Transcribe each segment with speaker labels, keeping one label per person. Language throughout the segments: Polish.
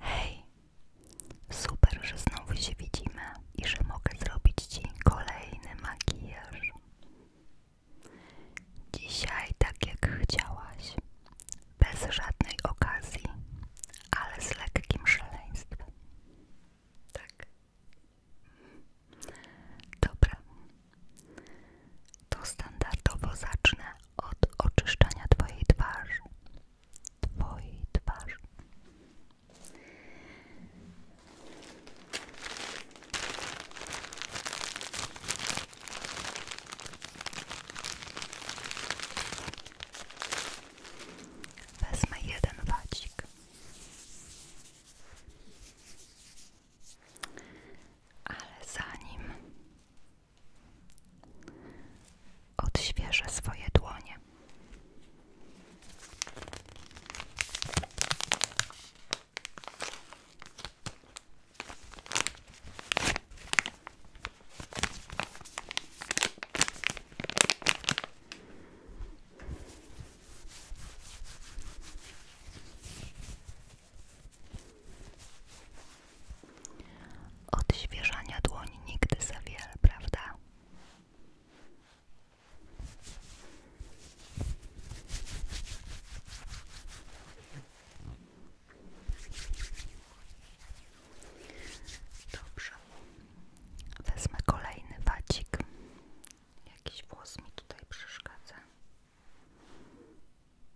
Speaker 1: Hej, super, że znowu się widzimy i że mogę zrobić Ci kolejny makijaż. Dzisiaj tak jak chciałaś, bez żadnej okazji, ale z lekkim szaleństwem. Tak. Dobra, to standardowo zacznę od oczyszczenia Twojej twarzy. Twojej twarzy. Wezmę jeden wadzik. Ale zanim odświeżę swoje dłonie. Od Odświeżania dłoni nigdy za wiele, prawda? Dobrze, wezmę kolejny wadzik. Jakiś włos mi tutaj przeszkadza.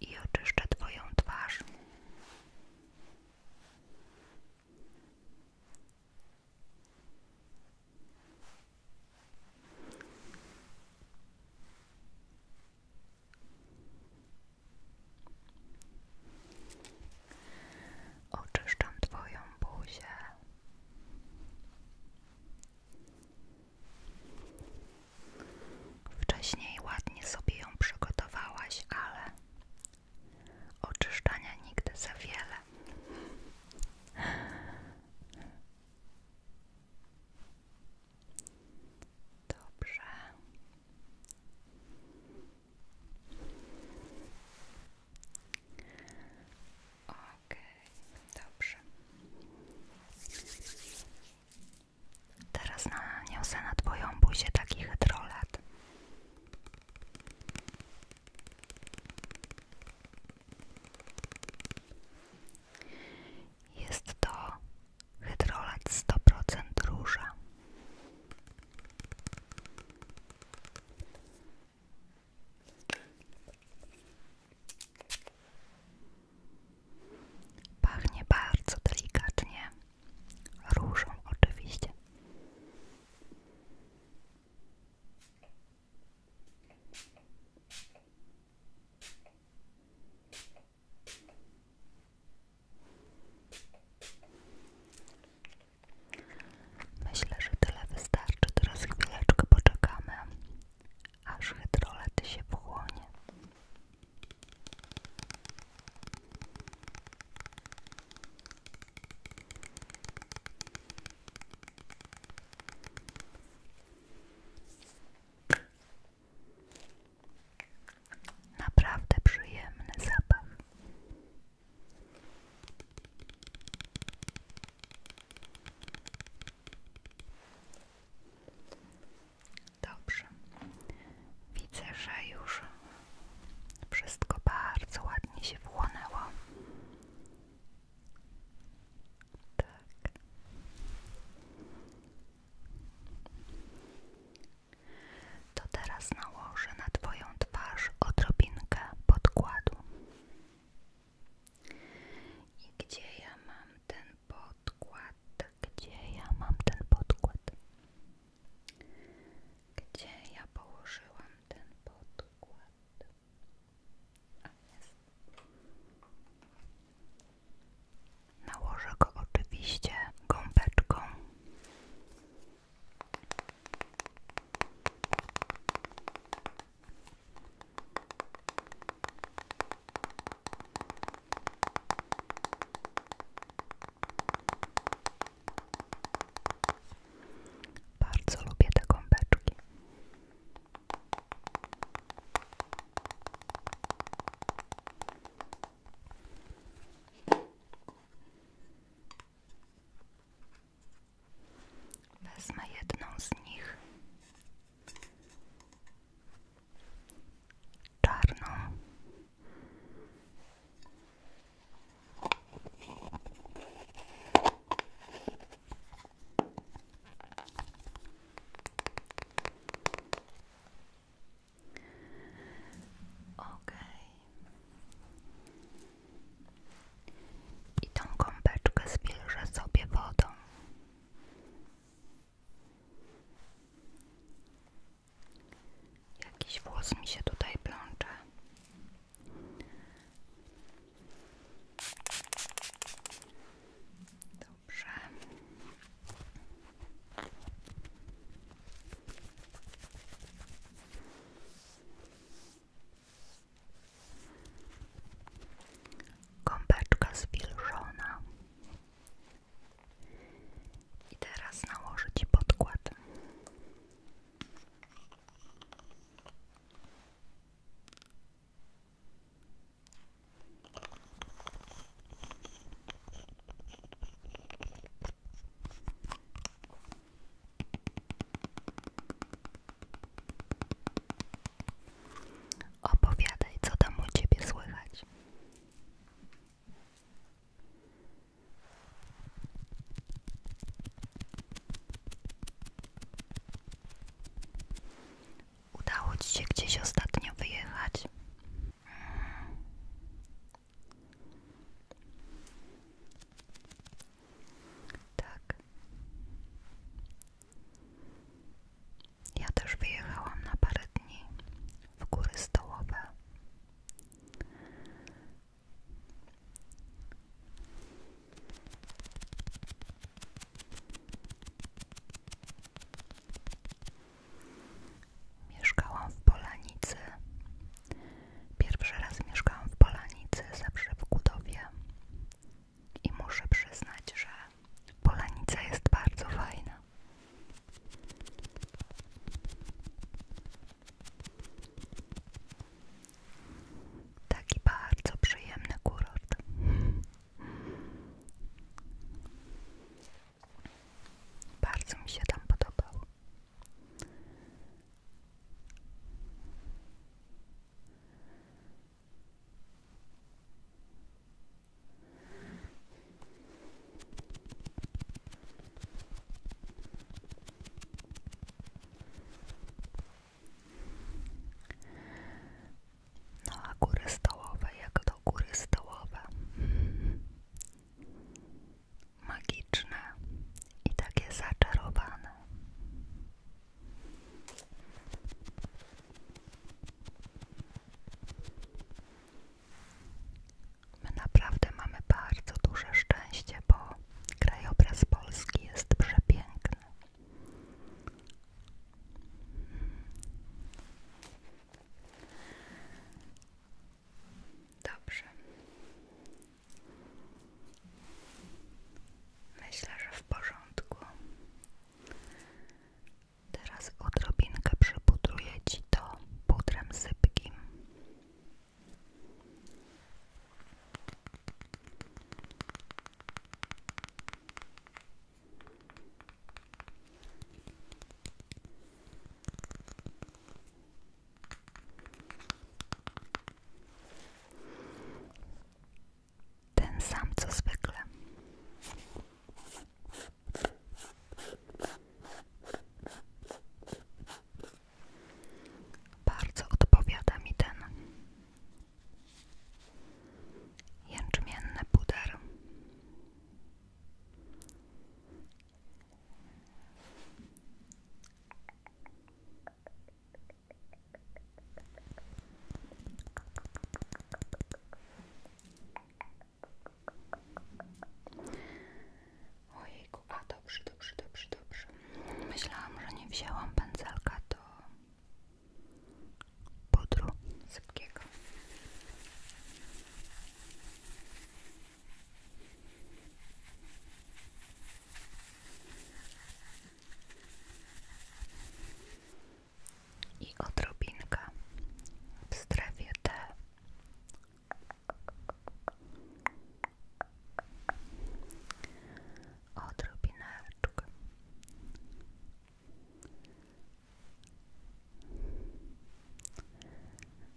Speaker 1: i oczyszczę Twoją twarz. Oczyszczam Twoją buzię Wcześniej ładnie sobie ją przygotowałaś, ale oczyszczania nigdy za wiele. Dobrze. Okej, okay, dobrze. Teraz naniosę na twoją buzię taki hydrolat. Jest to hydrolat 100% róża. Pachnie bardzo delikatnie, różą oczywiście. Myślę, że tyle wystarczy. Teraz chwileczkę poczekamy, aż hydrolet się wchłonie. Naprawdę przyjemny zabaw. Dobrze. Widzę, że już wszystko bardzo ładnie się wchłonęło. Tak. To teraz nałożę na Twoją twarz odrobinkę podkładu. I gdzie ja mam ten podkład? Gdzie ja mam ten podkład? Gdzie ja położyłam ten podkład? Nałożę go oczywiście gąbeczką. Bardzo lubię te gąbeczki. Wezmę jedną z nich. Czarno. Okej. I tą kąpeczkę zwilżę sobie wodą. Jakiś włos mi się tutaj plącze. Dobrze. Kąpeczka zwilżona. I teraz nałożę Ci podkład. Opowiadaj, co tam u ciebie słychać. Udało ci się gdzieś ostatnio wyjechać? Tak. Ja też wyjechałam na parę dni w góry stołowe. Mieszkałam w Polanicy Pierwszy raz mieszkałam w Polanicy, zawsze w I muszę przyznać, że Polanica jest bardzo fajna. Taki bardzo przyjemny kurort. Bardzo mi się tam podobał. No a góry stołowe, jak to góry stołowe magiczne i takie zaczarowane. My naprawdę mamy bardzo duże szczęście, bo krajobraz Polski jest przepiękny. Dobrze. Myślę, że w porządku. Teraz odrobinkę przypudruję Ci to pudrem sypkim. Ten sam co zwykle. Bardzo odpowiada mi ten jęczmienny puder. Ojejku, a dobrze, dobrze, dobrze, dobrze. Myślałam, że nie wzięłam pędzelka do pudru sypkiego i odrobinka w strefie T. Odrobineczkę.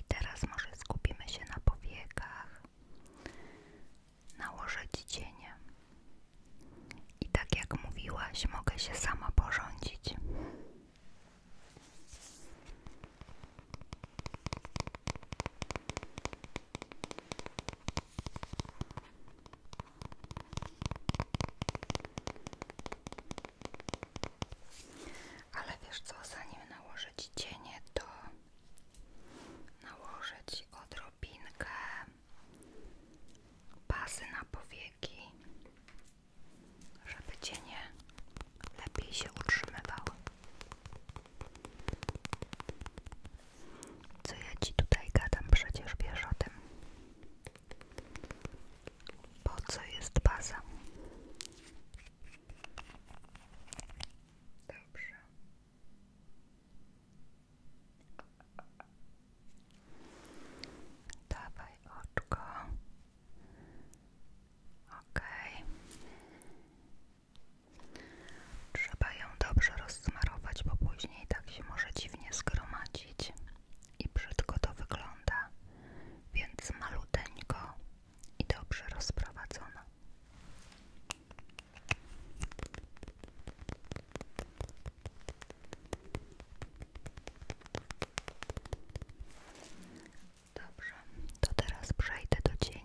Speaker 1: I teraz może skupimy się na powiekach, nałożyć cienie. I tak jak mówiłaś, mogę się sama porządzić ale wiesz co, zanim nałożyć cienie, to nałożyć odrobinkę pasy na powieki, żeby cienie lepiej się utrzymywały. Co ja ci tutaj gadam, przecież wiesz o tym. Po co jest baza? Dobrze. Dawaj oczko. Okej. Trzeba ją dobrze rozsmarować, bo później tak się może dziwnie zgromadzić i brzydko to wygląda, więc maluteńko i dobrze rozprowadzono. Dobrze, to teraz przejdę do cieni.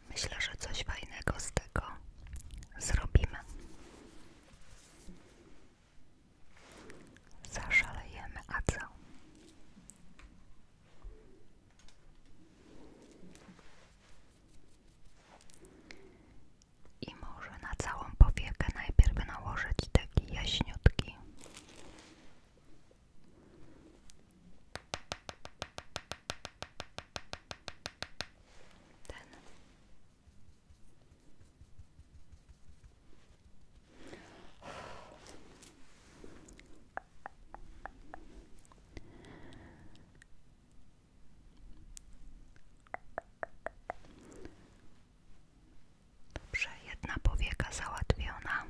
Speaker 1: Myślę, że coś fajnego z tego zrobimy. Zaszalejemy, a co? I może na całą powiekę najpierw nałożyć taki jaśniutki. Ten. Dobrze, jedna powieka załatwiona.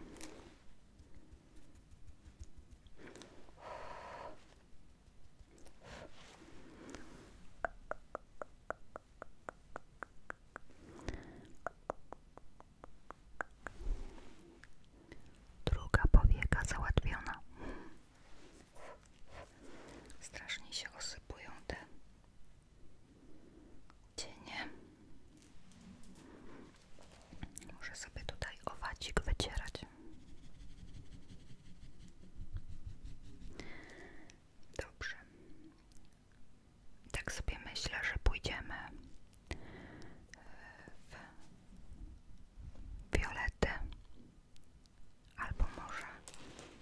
Speaker 1: Druga powieka załatwiona. Strasznie się osypują te nie. Może sobie tutaj owacik wycierać. Dobrze. Tak sobie myślę, że pójdziemy e, w fiolety, albo może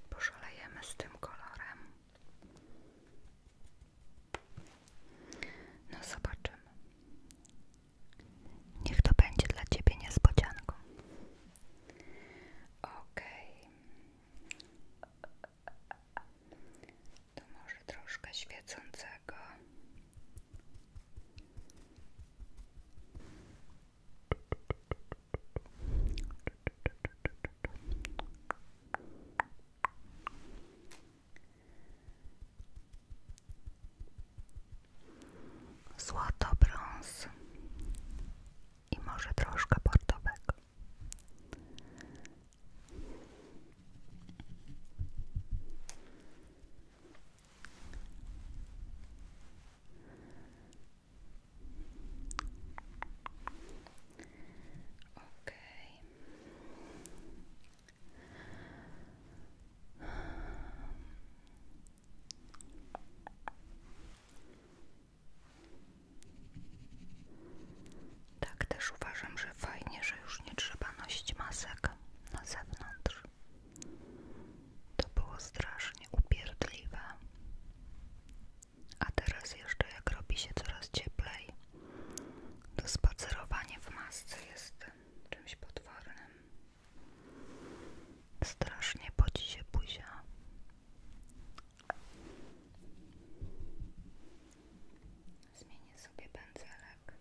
Speaker 1: poszalejemy z tym kolorem. No zobaczymy. Niech to będzie dla ciebie niespodzianką. Okej. To może troszkę świecącego złoto bronz i może troszkę portowego. Tak też uważam, że fajnie, że już nie trzeba nosić masek na zewnątrz. To było strasznie upierdliwe. A teraz jeszcze jak robi się coraz cieplej, to spacerowanie w masce jest czymś potwornym. Strasznie podzi się buzia. Zmienię sobie pędzelek.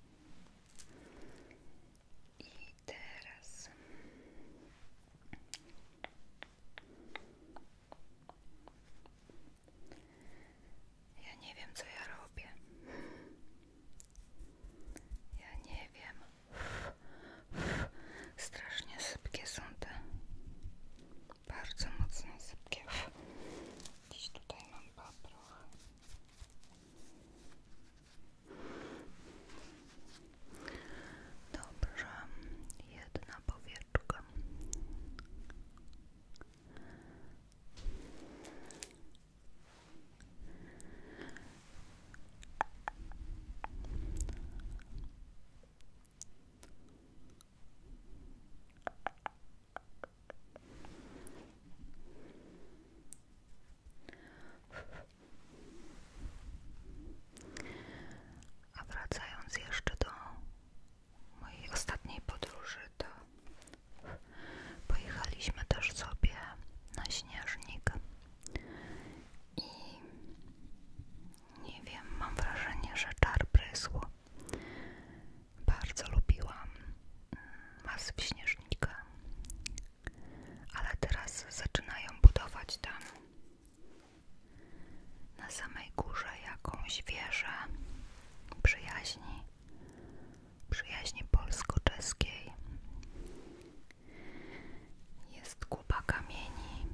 Speaker 1: I teraz ja nie wiem co ja robię. Ja nie wiem. Strasznie szybkie są te. Bardzo mocno sypkie. Dziś tutaj mam paproch. Dobrze, jedna powieczka. A wracając jeszcze do mojej ostatniej podróży, to Pojechaliśmy też sobie na śnieżnik i nie wiem, mam wrażenie, że czar prysł. Bardzo lubiłam mm, masy w śnieżnika, ale teraz zaczynają budować tam na samej górze jakąś wieżę przyjaźni przyjaźni polsko-czeskiej. Jest kupa kamieni.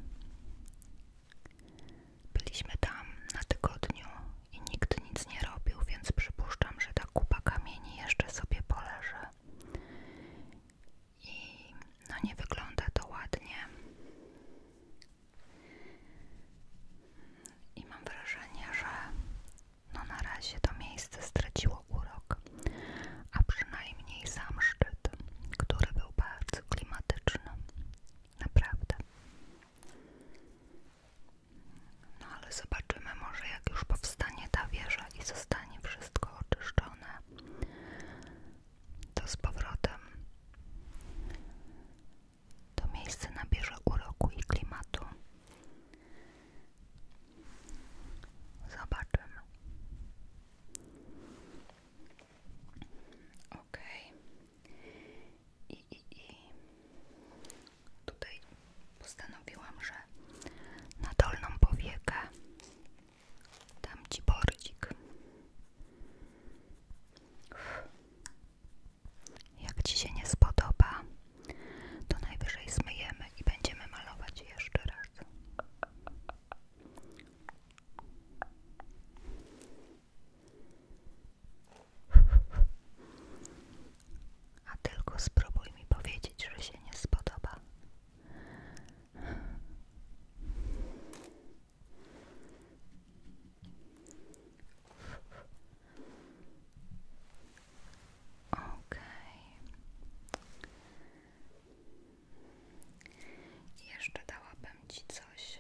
Speaker 1: Byliśmy tam na tygodniu i nikt nic nie robił, więc przypuszczam, że ta kupa kamieni jeszcze sobie poleży. I no nie wygląda to ładnie. I mam wrażenie, że no na razie to miejsce straciło urok, a przynajmniej sam szczyt, który był bardzo klimatyczny. Naprawdę. No ale zobaczymy może jak już powstanie ta wieża i zostanie wszystko oczyszczone, to z powrotem to miejsce nabierze uroku i klimatu. Zobaczymy. Ok. I, i, i tutaj postanowiłam, że na dolną powiekę dam ci bordzik. Jak Ci się nie spodoba, to najwyżej zmyjemy i będziemy malować jeszcze raz. A tylko spróbuj mi powiedzieć, że się nie spodoba. Ok. Jeszcze dałabym Ci coś.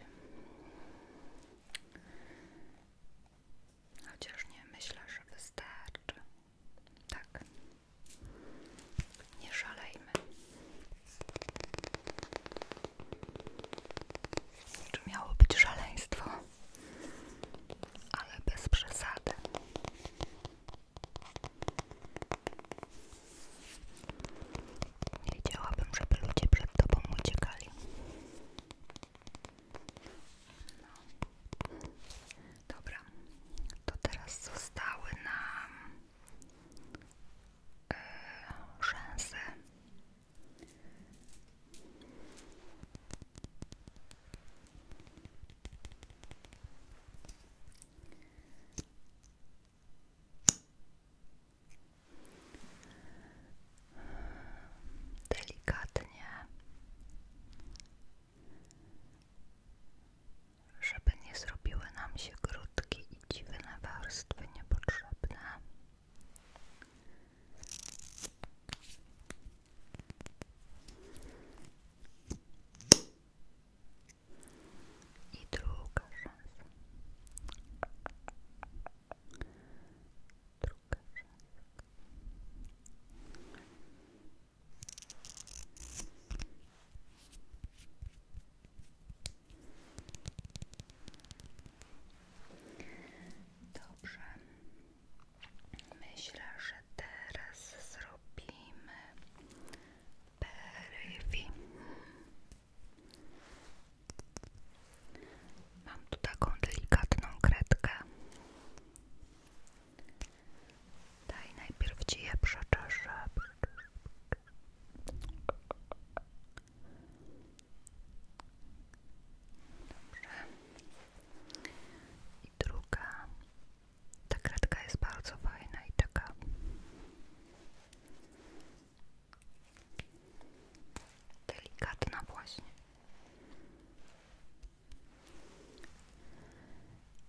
Speaker 1: Chociaż nie myślę, że wystarczy. Tak. Nie szalejmy. Czy miało być szaleństwo? ale bez przesady. Nie chciałabym, żeby ludzie przed tobą uciekali. No. Dobra, to teraz zostały nam yy, e, szanse Delikatnie, żeby nie zrobiły nam się grudki i dziwne warstwy niepotrzebne. I druga szansa. Druga szansa. Dobrze. Myślę, że teraz zrobimy perywi. Mam tu taką delikatną kredkę. Daj najpierw ci je i druga. Ta kredka jest bardzo fajna i taka. Delikatna właśnie.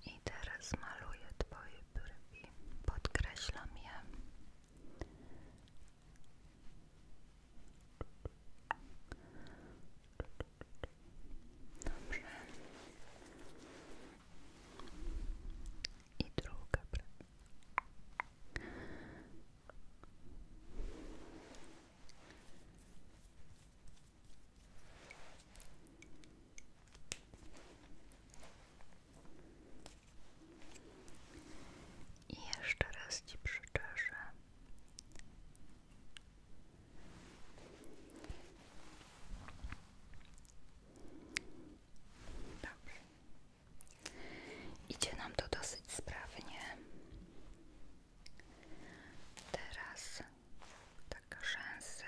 Speaker 1: I teraz maluję Twoje brwi. Podkreślam je Dobrze. I druga praca. I jeszcze raz Ci przyczeszę Idzie nam to dosyć sprawnie. Teraz taka rzęsy,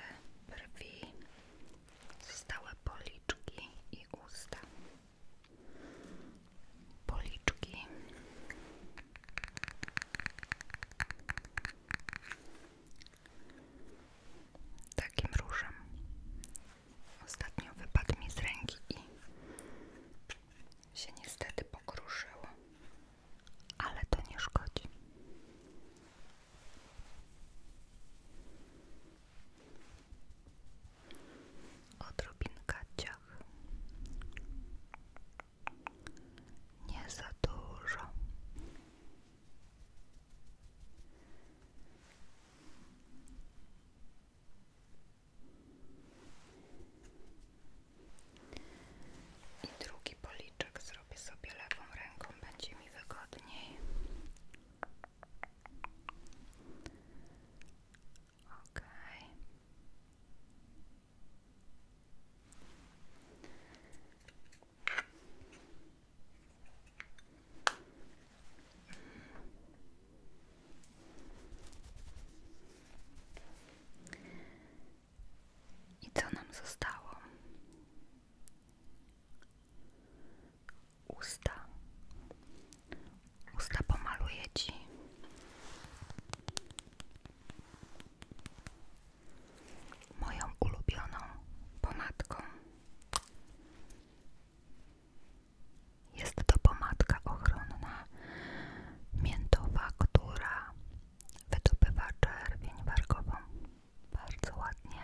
Speaker 1: brwi, zostałe policzki i usta policzki takim różem. Ostatnio wypadł mi z ręki i się niestety pokruszyło, ale to nie szkodzi. Odrobinka ciach. Nie za dużo. I drugi policzek zrobię sobie lewą ręką, będzie mi wygodniej. I co nam zostało? Usta. Usta pomaluję ci. Moją ulubioną pomadką. Jest to pomadka ochronna miętowa, która wydobywa czerwień wargową bardzo ładnie.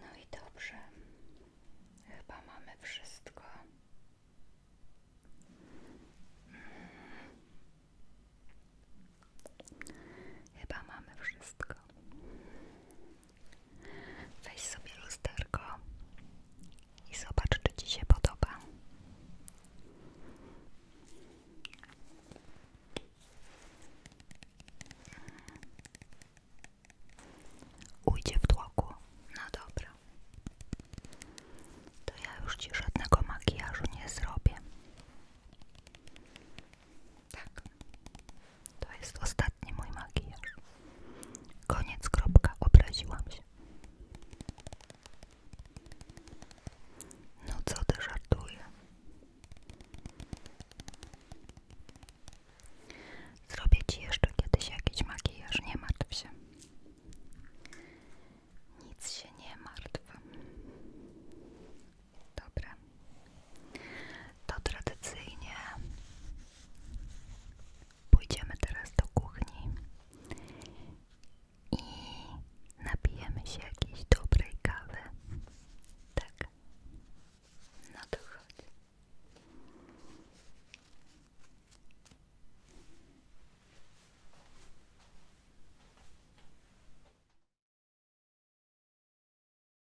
Speaker 1: No i dobrze, chyba mamy wszystko. Chyba mamy wszystko. Weź sobie lusterko i zobacz, czy Ci się podoba. Ujdzie w tłoku. No dobra. To ja już Ci żadnego makijażu nie zrobię. Tak. To jest ostatni mój makijaż. Koniec, kropka. Obraziłam się. No co ty żartuje? Zrobię ci jeszcze kiedyś jakiś makijaż, nie martw się. Nic się nie martw. Dobra to tradycyjnie pójdziemy teraz do kuchni i napijemy się jakiejś dobrej kawy. Tak. No to chodź.